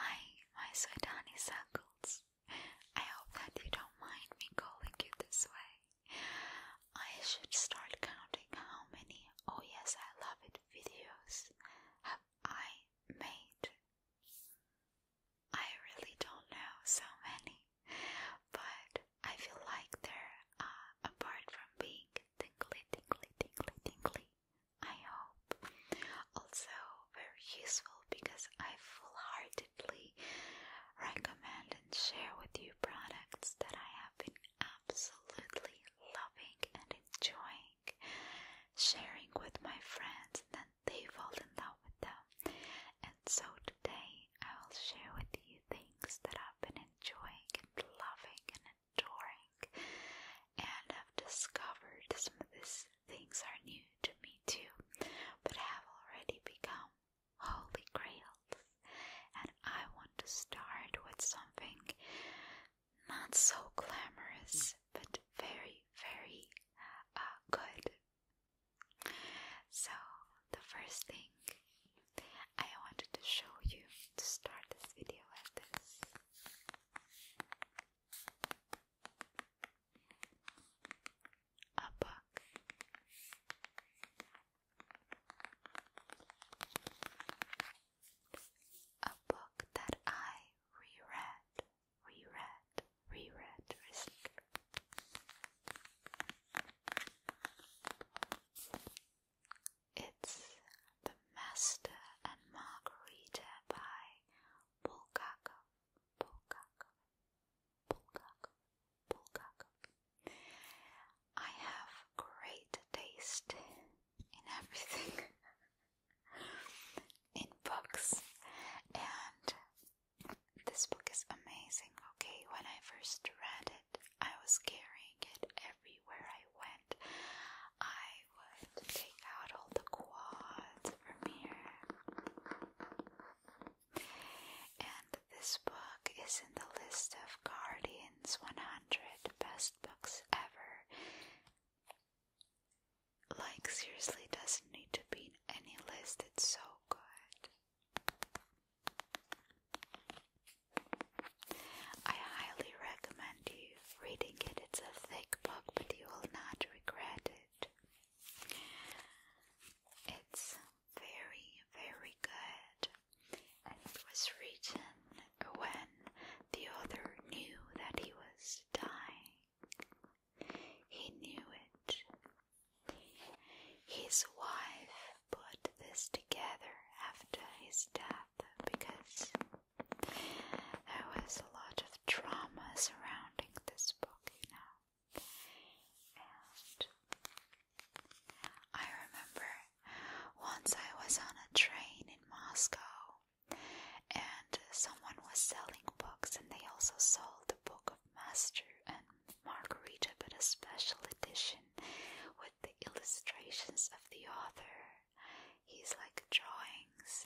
Hi, my sweet honeysuckles. I hope that you don't mind me calling you this way. I should start counting how many Oh Yes I Love It videos have I made. I really don't know so many, but I feel like there are uh, apart from being tingly, tingly, tingly, tingly, I hope. Also, very useful because I full-heartedly recommend and share with you products that I have been absolutely loving and enjoying, sharing with my friends, and they fall in love with them. And so today I will share with you things that I've been enjoying and loving and drawing and have discovered some of these things are new to me too, but have already become holy grails. And I want to start with something not so glamorous but very, very uh, good. So, the first thing I wanted to show you to start this video like this. A book. A book that I reread, reread, reread it's The Master and Margarita by Bulgakov. Bulgakov. Bulgakov. Bulgakov. I have great taste in everything. in books. And this book is amazing. Okay, when I first read it, I was carrying it everywhere I went. I would take out all the quads from here. And this book is in the list of Guardians 100 Best Books Ever. Like, seriously, doesn't need to be in any list, it's so good. I highly recommend you reading it. It's a thick book, but you will not regret it. It's very, very good. it was written when the author knew that he was dying. He knew it his wife put this together after his death because there was a lot of drama surrounding this book, you know. And I remember once I was on a train in Moscow and someone was selling books and they also sold the book of Master and margarita but a special edition with the illustrations of the author. He's like drawings.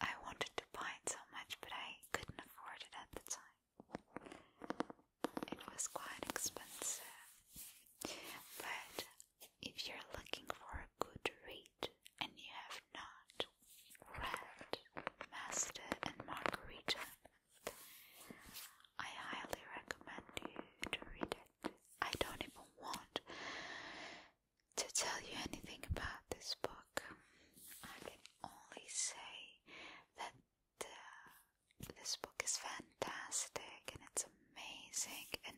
I wanted to buy it so much, but I couldn't afford it at the time. It was quite expensive. But if you're looking for a good read and you have not read Master and Margarita, I highly recommend you to read it. I don't even want to tell you anything about this book. I can only say that uh, this book is fantastic and it's amazing. And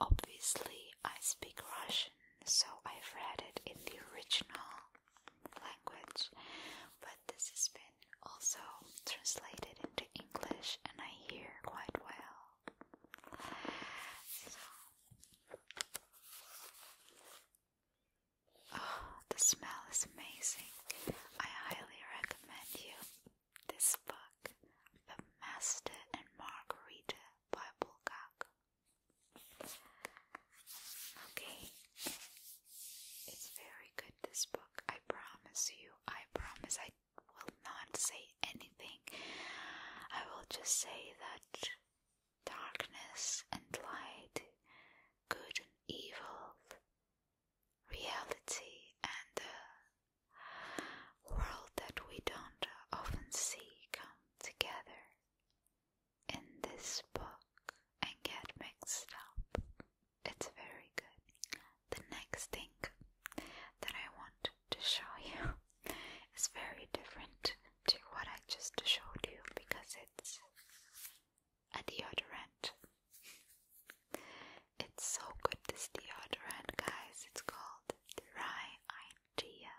obviously, I speak Russian, so I've read it in the original language. But this has been also translated into English and I hear quite well. Oh, the smell is amazing. I highly recommend you this book, The Master and Margarita by Bulgakov. Okay. It's very good, this book. I promise you. I promise I will not say anything. I will just say that darkness and light, good and evil, reality and the world that we don't often see come together in this book and get mixed up. It's very good. The next thing that I want to show you is very different to what I just showed you because it's a deodorant. It's so good, this deodorant, guys. It's called Dry Idea.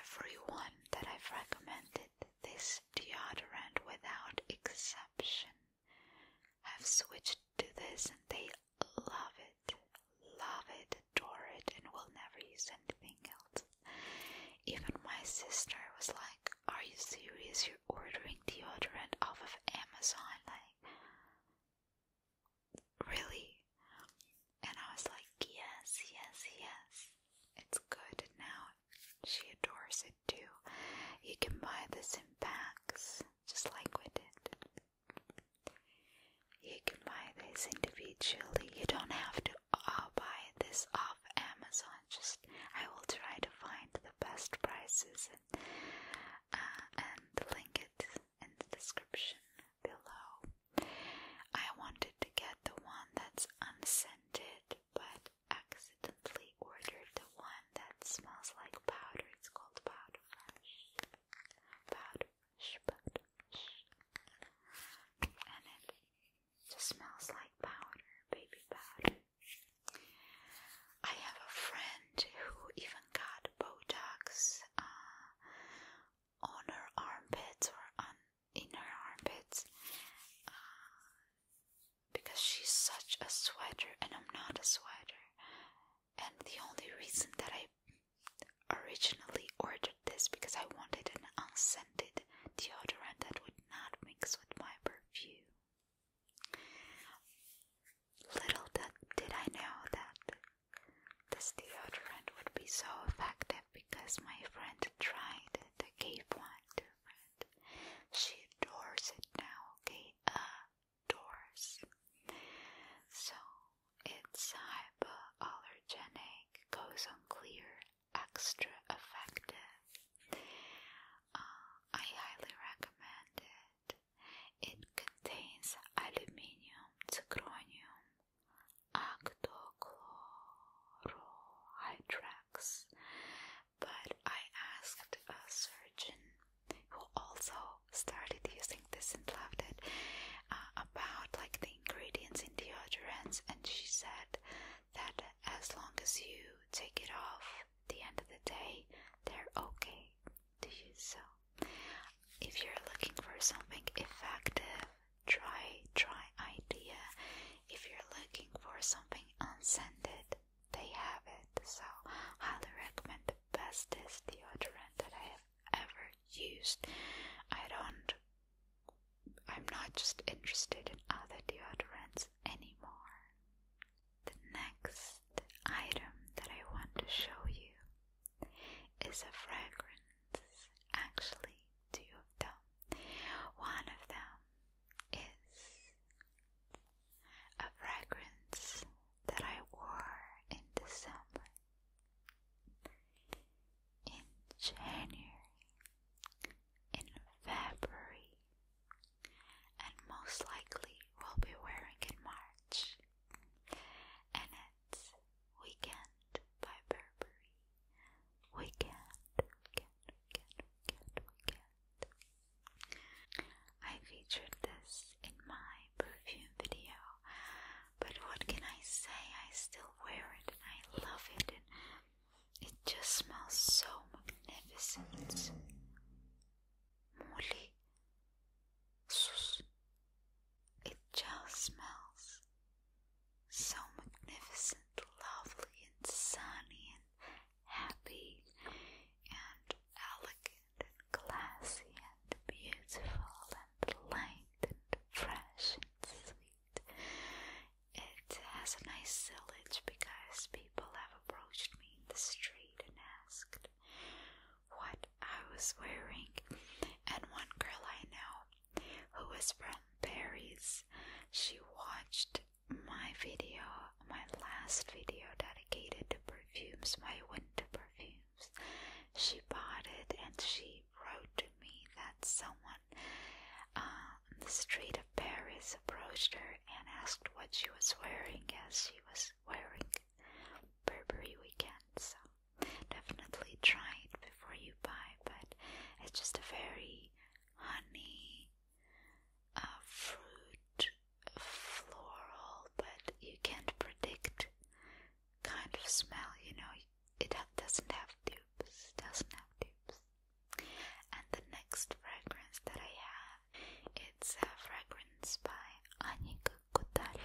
Everyone that I've recommended this deodorant without exception have switched to this and they love it, love it, adore it, and will never use anything else. Even my sister was like, Are you serious? You're ordering deodorant off of Amazon? Like, really? And I was like, yes, yes, yes. It's good now. She adores it too. You can buy this in packs, just like we did. You can buy this individually. You don't have to uh, buy this off Amazon. Just I will try to find the best prices and uh, and link it in the description below. I wanted to get the one that's unscented, but accidentally ordered the one that smells like powder. It's called powder fresh. Powder And it just smells like powder, baby powder. I have a friend who even got Botox uh, on her armpits or on in her armpits uh, because she's such a sweater and I'm not a sweater. And the only reason that I originally ordered this because I wanted an unscented deodorant that would not mix with my perfume. Little did, did I know that this deodorant would be so effective because my friend tried it. I gave one to a friend. She adores it now, okay? Adores. So it's hypoallergenic, goes on clear, extra effective. Uh, I highly recommend it. It contains aluminium, zirconium, octochlorohydrax, but I asked a surgeon who also started using this and loved it uh, about like the ingredients in deodorants, and she said that as long as you take it off the end of the day, they're okay. So, if you're looking for something effective, try, try idea. If you're looking for something unscented, they have it. So, highly recommend the bestest deodorant that I have ever used. I don't. I'm not just interested in other deodorants anymore. The next item that I want to show you is a fragrance. Actually, two of them. One of them is a fragrance that I wore in December, in January, in February, and most likely will be wearing in March. That's Weekend by Burberry. Weekend, I featured this in my perfume video, but what can I say? I still wear it I love it, it just smells so magnificent. Molly, it just smells so magnificent, lovely, and sunny, and happy, and elegant, and classy, and beautiful, and light, and fresh, and sweet. It has a nice village because people have approached me in the street and asked what I was wearing, and one girl I know who was from Paris, she watched my video, my last video dedicated to perfumes, my winter perfumes. She bought it and she wrote to me that someone uh, on the street of Paris approached her and asked what she was wearing as she was wearing Burberry Weekend, so definitely try it before you buy. But it's just a very honey, uh, fruit, floral, but you can't predict kind of smell. You know, it doesn't have dupes. Doesn't have dupes. And the next fragrance that I have. It's a fragrance by Annick Kotal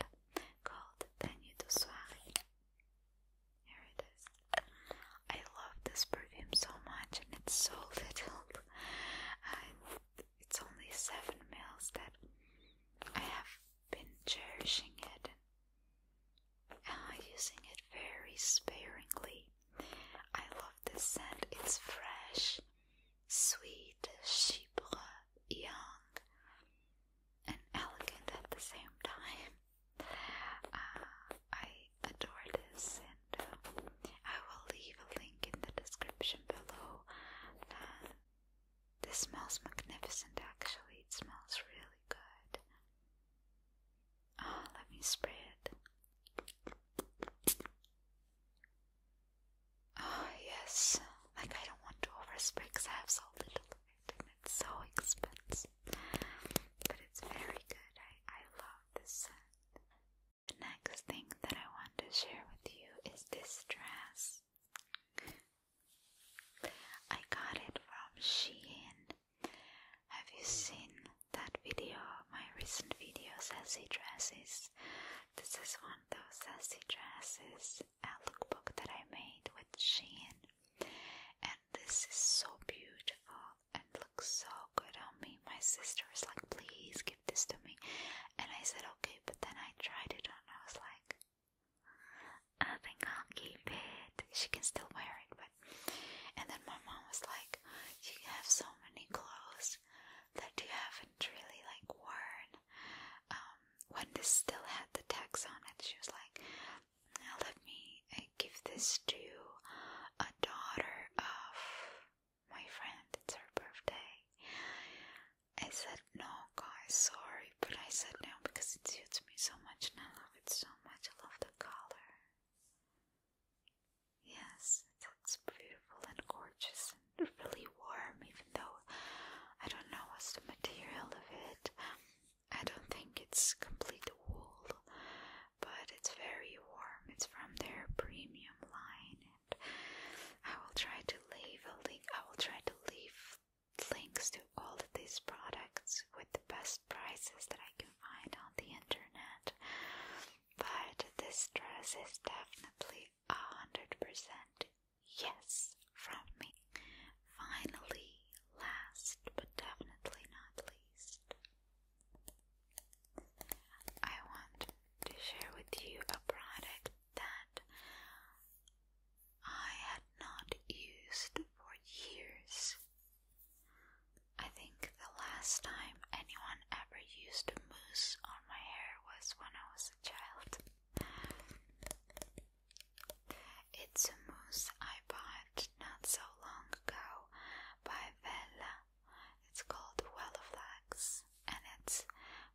called Tenue de Soirée. I love this perfume so much, and it's so little. it's only seven mils that I have been cherishing it uh, using it very sparingly. I love this scent. It's fresh sweet, chibre, young, and elegant at the same time. Uh, I adore this, and uh, I will leave a link in the description below. Uh, this smells magnificent, actually. It smells really good. Oh, let me spray it. Ah, yes. Like, I don't want to overspray because I have so little and it's so expensive. But it's very good. I, I love this scent. The next thing that I want to share with you is this dress. I got it from Shein. Have you seen that video, my recent video, sassy dresses. This is one of those sassy dresses, a lookbook that I made with Shein, and this is so beautiful and looks so good on me. My sister was like, "Please give this to me," and I said, "Okay." But then I tried it on. I was like, "I think I'll keep it." She can still wear it, but and then my mom was like, "You have so many clothes that you haven't really like worn. Um, when this still had the tags on it, she was like, now let me uh, give this to a daughter of my friend, it's her birthday. I said, no, guys, sorry, but I said no because it suits me so much and I love it so much. I love the color. Yes, it beautiful and gorgeous and really warm, even though I don't know what's the material of it. I don't think it's complete wool, but it's very warm. It's from their premium line, and I will try to leave a link. I will try to leave links to all these products with the best prices that I can find on the internet. But this dress is definitely a hundred percent yes from me. Finally, last but definitely not least, I want to share with you a product that I had not used for years I think the last time anyone ever used mousse on my hair was when I was a child. It's a mousse I bought not so long ago by Vella. It's called Wellaflex and it's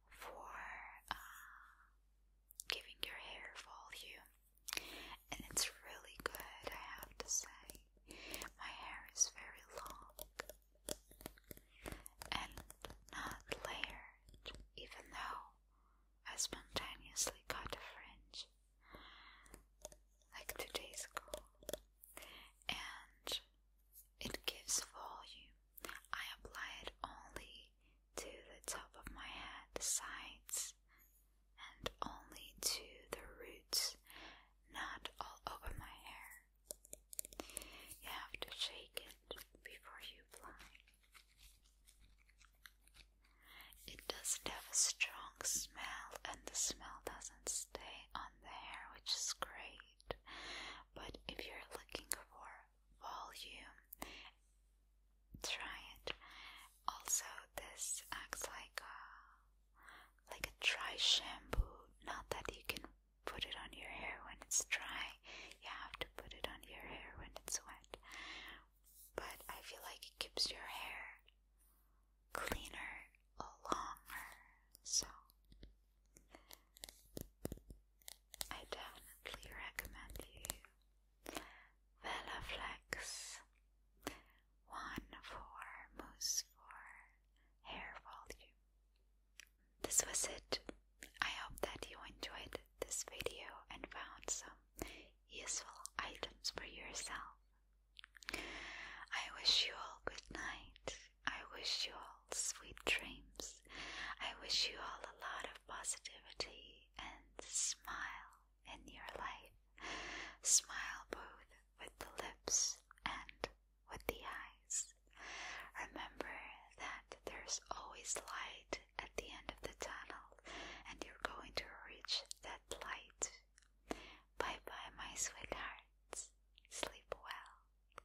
for uh, giving your hair volume and it's really good, I have to say. My hair is very long and not layered, even though I spontaneously cut a fringe like two days ago, and it gives volume. I apply it only to the top of my head, the sides, and only to the roots, not all over my hair. You have to shake it before you apply. It doesn't have a strong smell, and the smell doesn't stay on the hair, which is great. But if you're looking for volume, try it also, this acts like a like a dry shampoo. Not that you can put it on your hair when it's dry. You have to put it on your hair when it's wet. But I feel like it keeps your hair cleaner longer. So I definitely recommend you Velaflex, one for mousse for hair volume. This was it. I hope that you enjoyed this video and found some useful items for yourself. I wish you all good night. I wish you all sweet dreams. I wish you all a lot of positivity and smile in your life. Smile both with the lips and with the eyes. Remember that there's always light at the end of the tunnel, and you're going to reach that light. Bye bye, my sweethearts. Sleep well.